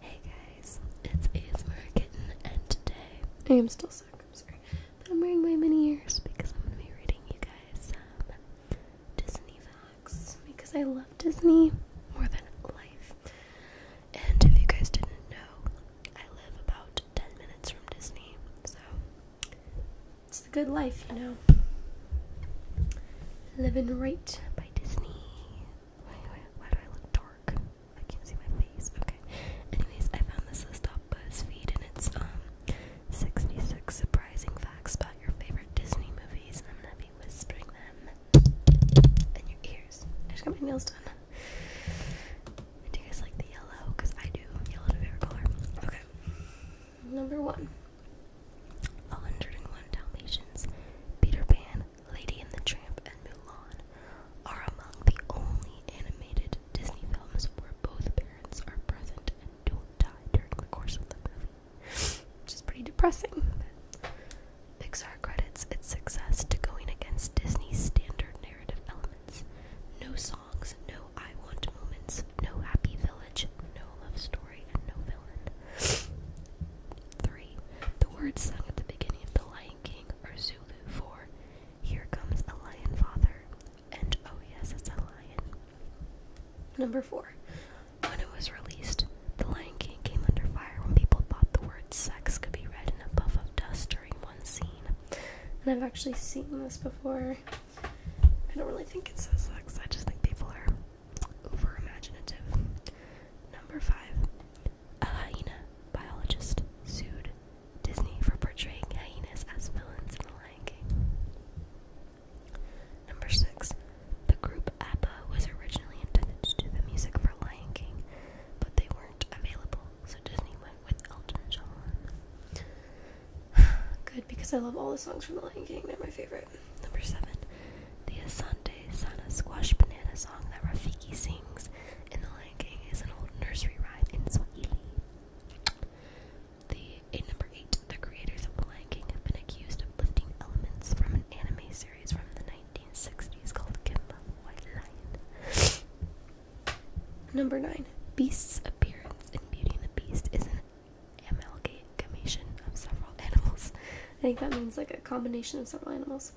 Hey guys, it's ASMR Kitten, and today I am still sick. I'm sorry, but I'm wearing my mini ears because I'm gonna be reading you guys Disney facts because I love Disney more than life. And if you guys didn't know, I live about 10 minutes from Disney, so it's the good life, you know. Living right by Disney. Why, do I look dark? I can't see my face. Okay. Anyways, I found this list off BuzzFeed, and it's um 66 surprising facts about your favorite Disney movies. I'm gonna be whispering them in your ears. I just got my nails done. Do you guys like the yellow? Cause I do. Yellow's my favorite color. Okay. Number one. 101 Dalmatians, Peter Pan, Lady and the Tramp, and Mulan are among the only animated Disney films where both parents are present and don't die during the course of the movie, which is pretty depressing. Pixar credits its success to going against Disney's standard narrative elements. No songs, no I want moments, no happy village, no love story, and no villain. 3. The words sung at the beginning of The Lion King are Zulu Four, Here Comes a Lion Father and Oh Yes, It's a Lion. Number 4. When it was released, The Lion King came under fire when people thought the word sex could be read in a puff of dust during one scene. And I've actually seen this before. I don't really think it says sex, I just think people are over Number five, a hyena biologist sued Disney for portraying hyenas as villains in The Lion King. Number six, the group ABBA was originally intended to do the music for Lion King, but they weren't available, so Disney went with Elton John. Good because I love all the songs from The Lion King, they're my favorite. Number seven, the Asante Sana Squash Banana song that Rafiki sings in The Lion King is an old nursery rhyme in Swahili. number eight, the creators of The Lion King have been accused of lifting elements from an anime series from the 1960s called Kimba White Lion. Number nine, Beast's appearance in Beauty and the Beast is an amalgamation of several animals. I think that means like a combination of several animals.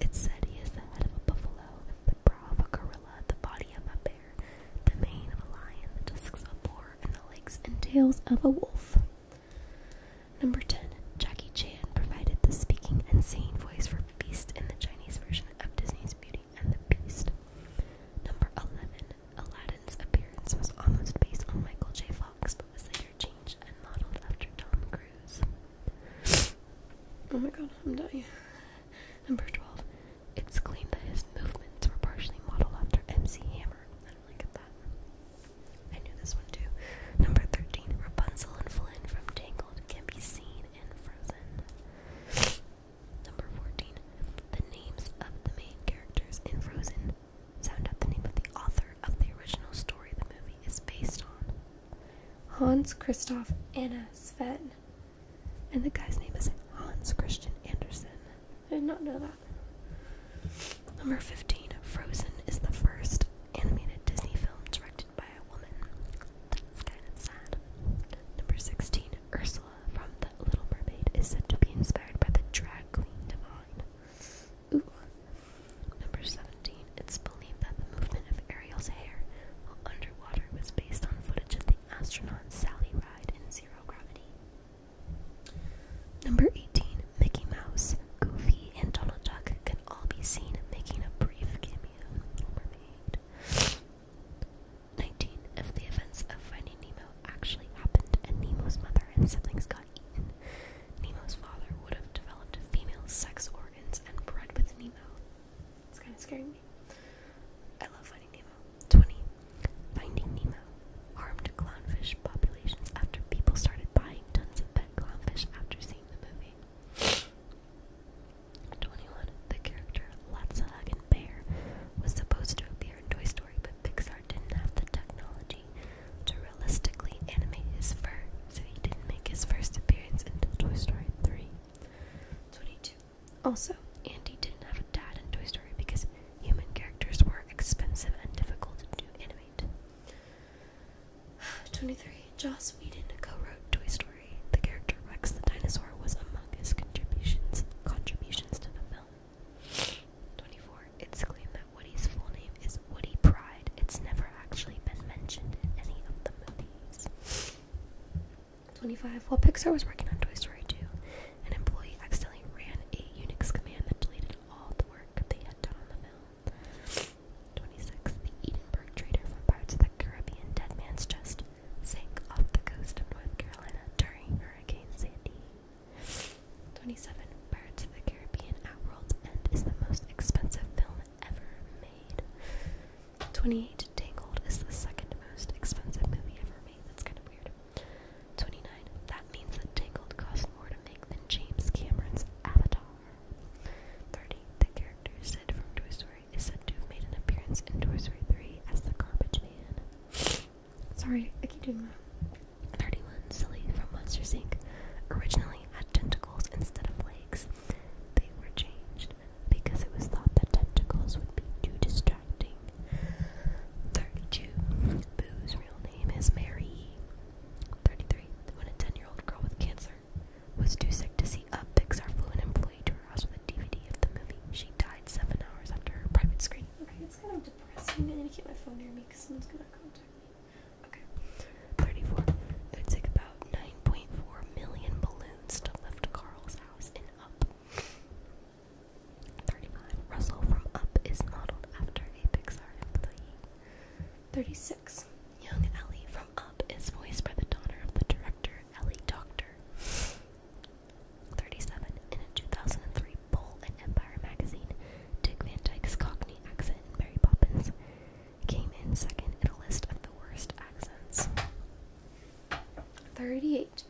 It said he is the head of a buffalo, the brow of a gorilla, the body of a bear, the mane of a lion, the tusks of a boar, and the legs and tails of a wolf. Number 10. Jackie Chan provided the speaking and singing voice for Beast in the Chinese version of Disney's Beauty and the Beast. Number 11. Aladdin's appearance was almost based on Michael J. Fox, but was later changed and modeled after Tom Cruise. oh my god, I'm dying. Number 12. It's claimed that his movements were partially modeled after MC Hammer. I do that. I knew this one too. Number 13. Rapunzel and Flynn from Tangled can be seen in Frozen. Number 14. The names of the main characters in Frozen Sound out the name of the author of the original story the movie is based on. Hans Christoph Anna Sven. And the guy's name is Hans Christian Andersen. I did not know that. Number 15. Frozen is the first animated Disney film directed by a woman. That's kind of sad. Number 16. Ursula from The Little Mermaid is said to be inspired by the drag queen Divine. Number 17. It's believed that the movement of Ariel's hair underwater was based on footage of the astronaut Sally Ride in Zero Gravity. Number 18. Mickey Mouse, Goofy, and Donald Duck can all be seen making a brief cameo 19. If the events of Finding Nemo actually happened and Nemo's mother and siblings got eaten. Nemo's father would have developed female sex organs and bred with Nemo. It's kind of scary. me. I love Finding Nemo. 20. Finding Nemo harmed clownfish populations after people started buying tons of pet clownfish after seeing the movie. 21. The character let Hug and Bear was supposed to appear in Toy Story, but Pixar didn't have the technology to realistically animate his fur, so he didn't make his first appearance until Toy Story 3. 22. Also, Andy didn't have a dad in Toy Story because human characters were expensive and difficult to animate. 23. Joss Whedon co-wrote Toy Story. The character Rex the dinosaur was among his contributions contributions to the film. 24. It's claimed that Woody's full name is Woody Pride. It's never actually been mentioned in any of the movies. 25. While Pixar was working on Toy Story 2, an employee accidentally ran a Unix command that deleted all the work they had done on the film. 26. The Edinburgh trader from Pirates of the Caribbean Dead Man's Chest sank off the coast of North Carolina during Hurricane Sandy. 27. Pirates of the Caribbean at World's End is the most expensive film ever made. 28. Tangled is the second most expensive movie ever made. That's kind of weird. 29. That means that Tangled cost more to make than James Cameron's Avatar. 30. The character Sid from Toy Story is said to have made an appearance in Toy Story 3 as the Garbage Man. Sorry, I keep doing that. 31 Silly from Monsters Inc. originally had tentacles instead of legs. They were changed because it was thought that tentacles would be too distracting. 32 Boo's real name is Mary. 33 When a 10 year old girl with cancer was too sick to see up, Pixar flew an to her house with a DVD of the movie. She died seven hours after her private screening. Okay, it's kind of depressing. I need to keep my phone near me because someone's gonna contact me. Okay, 34. It would about 9.4 million balloons to lift Carl's house in Up. 35. Russell from Up is modeled after a Pixar employee. 36. Young Ellie from Up is voiced by the daughter of the director, Ellie Doctor. 37. In a 2003 poll in Empire magazine, Dick Van Dyke's Cockney accent in Mary Poppins came in second in a list of the worst accents. 38.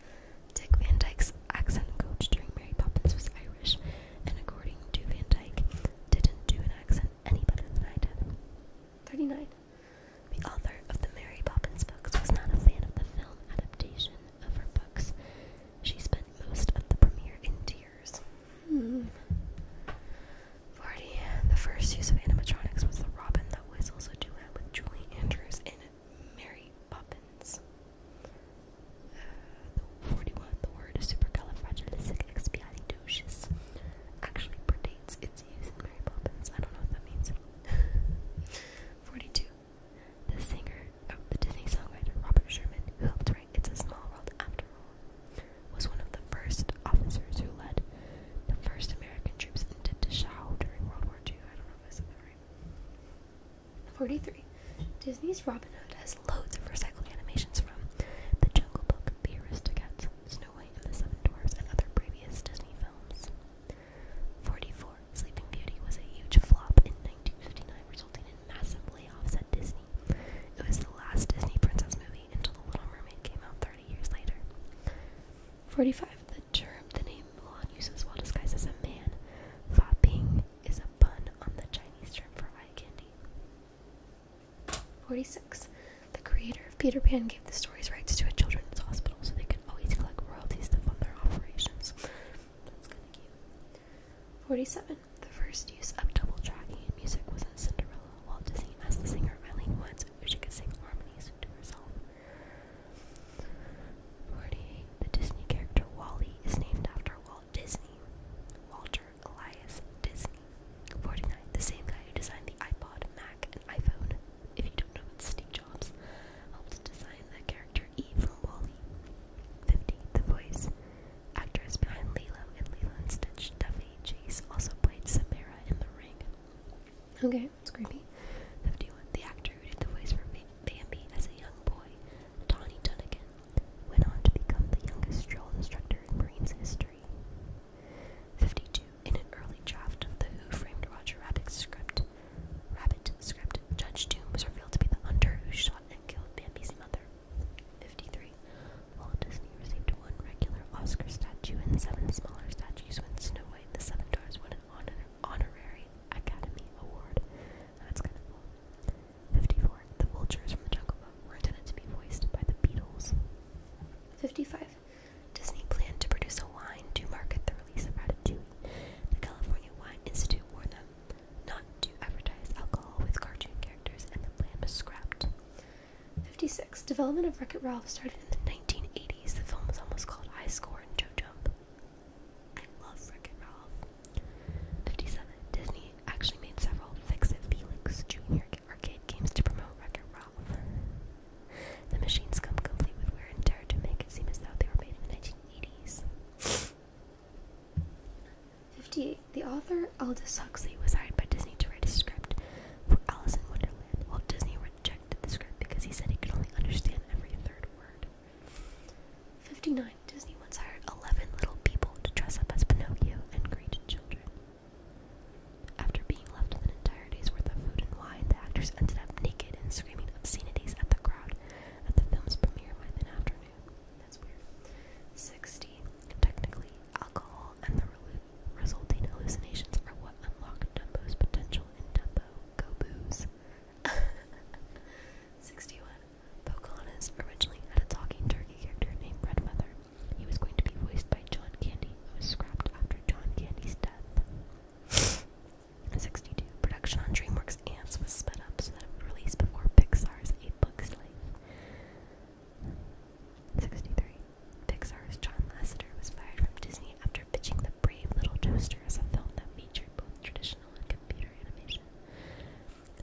Dick Van Dyke's accent coach during Mary Poppins was Irish, and according to Van Dyke, didn't do an accent any better than I did. 39. The author of the Mary Poppins books was not a fan of the film adaptation of her books. She spent most of the premiere in tears. Hmm. 40. The first use of animatronics was the Robin that Whistles a duet with Julie Andrews in Mary Poppins. Uh, 41. The word supercalifragilisticexpialidocious actually predates its use in Mary Poppins. I don't know what that means. 42. The singer of the Disney songwriter Robert Sherman, who helped write It's a Small World After All, was one of the first officers who led the first American troops into Dachau during World War II. I don't know if I said that right. 43. Disney's Robin Hood has loads of recycled animations from The Jungle Book, The Aristocats, Snow White and the Seven Dwarfs, and other previous Disney films. 44. Sleeping Beauty was a huge flop in 1959, resulting in massive layoffs at Disney. It was the last Disney princess movie until The Little Mermaid came out 30 years later. 45. The term the name Mulan uses well disguised as a man, Fa is a pun on the Chinese term for eye candy. 46. The creator Peter Pan gave the story's rights to a children's hospital so they could always collect royalties to fund their operations. 47. The first use of double tracking in music was in Cinderella. Walt Disney asked the singer Eileen Woods if she could sing harmonies to herself. 48. The Disney character Wally is named after Walt Disney. Walter Elias Disney. 49. The same guy who designed the iPod, Mac, and iPhone. If you don't know, it's Steve Jobs helped design the character Eve from Wally. 50. The voice actress behind Lilo and Lilo and Stitch, Daphne Chase, also played Samara in The Ring. Okay, it's creepy. 51. The actor who did the voice for Bambi as a young boy, Donnie Dunnigan, went on to become the youngest drill instructor in Marines history. 52. In an early draft of the Who Framed Roger Rabbit script, Rabbit script, Judge Doom was revealed to be the hunter who shot and killed Bambi's mother. 53. Walt Disney received one regular Oscar statue and seven smaller statues when Snow White and the Seven Dwarfs won an honorary Academy Award. That's kind of cool. 54. The vultures from the Jungle Book were intended to be voiced by the Beatles. 55. Disney planned to produce a wine to market the release of Ratatouille. The California Wine Institute warned them not to advertise alcohol with cartoon characters, and the plan was scrapped. 56. Development of Wreck It Ralph started in the 1980s. The film was almost called High Score and Joe Jump. I love Wreck It Ralph. 57. Disney actually made several Fix It Felix Jr arcade games to promote Wreck-It Ralph. The machines come complete with wear and tear to make it seem as though they were made in the 1980s. 58. The author Aldous Huxley was hired by Disney to write a script for Alice in Wonderland. Walt Disney rejected the script because he said he could only understand every third word. 59. Disney once hired 11 little people to dress up as Pinocchio and greet children. After being left with an entire day's worth of food and wine, the actors ended up naked and screaming obscenities at the crowd at the film's premiere by afternoon. That's weird. 60. Technically, alcohol and the resulting hallucinations are what unlock Dumbo's potential in Dumbo Go 61. Pocahontas originally had a talking turkey character named Redfeather. He was going to be voiced by John Candy, who was scrapped after John Candy's death. 62. Production on DreamWorks Ants was sped up so that it would release before Pixar's A Bug's Life. 63. Pixar's John Lasseter was fired from Disney after pitching The Brave Little Toaster as a film that featured both traditional and computer animation.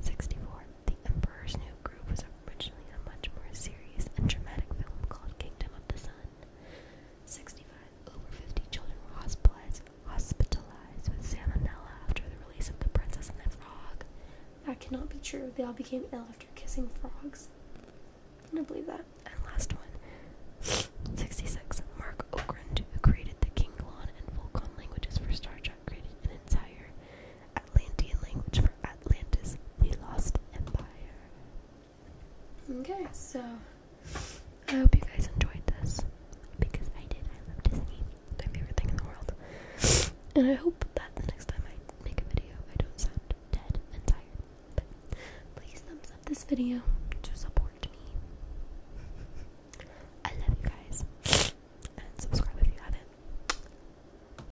64. The Emperor's New Groove was a originally a much more serious and dramatic film called Kingdom of the Sun. 65. Over 50 children hospitalized, hospitalized with salmonella after the release of The Princess and the Frog. That cannot be true. They all became ill after kissing frogs. I don't believe that. And last one. 66. Mark Okrand, who created the Klingon and Vulcan languages for Star Trek, created an entire Atlantean language for Atlantis, the Lost Empire. Okay, so I hope you guys enjoyed this because I did. I love Disney, my favorite thing in the world. And I hope that the next time I make a video, I don't sound dead and tired. please thumbs up this video to support me. I love you guys. And subscribe if you haven't.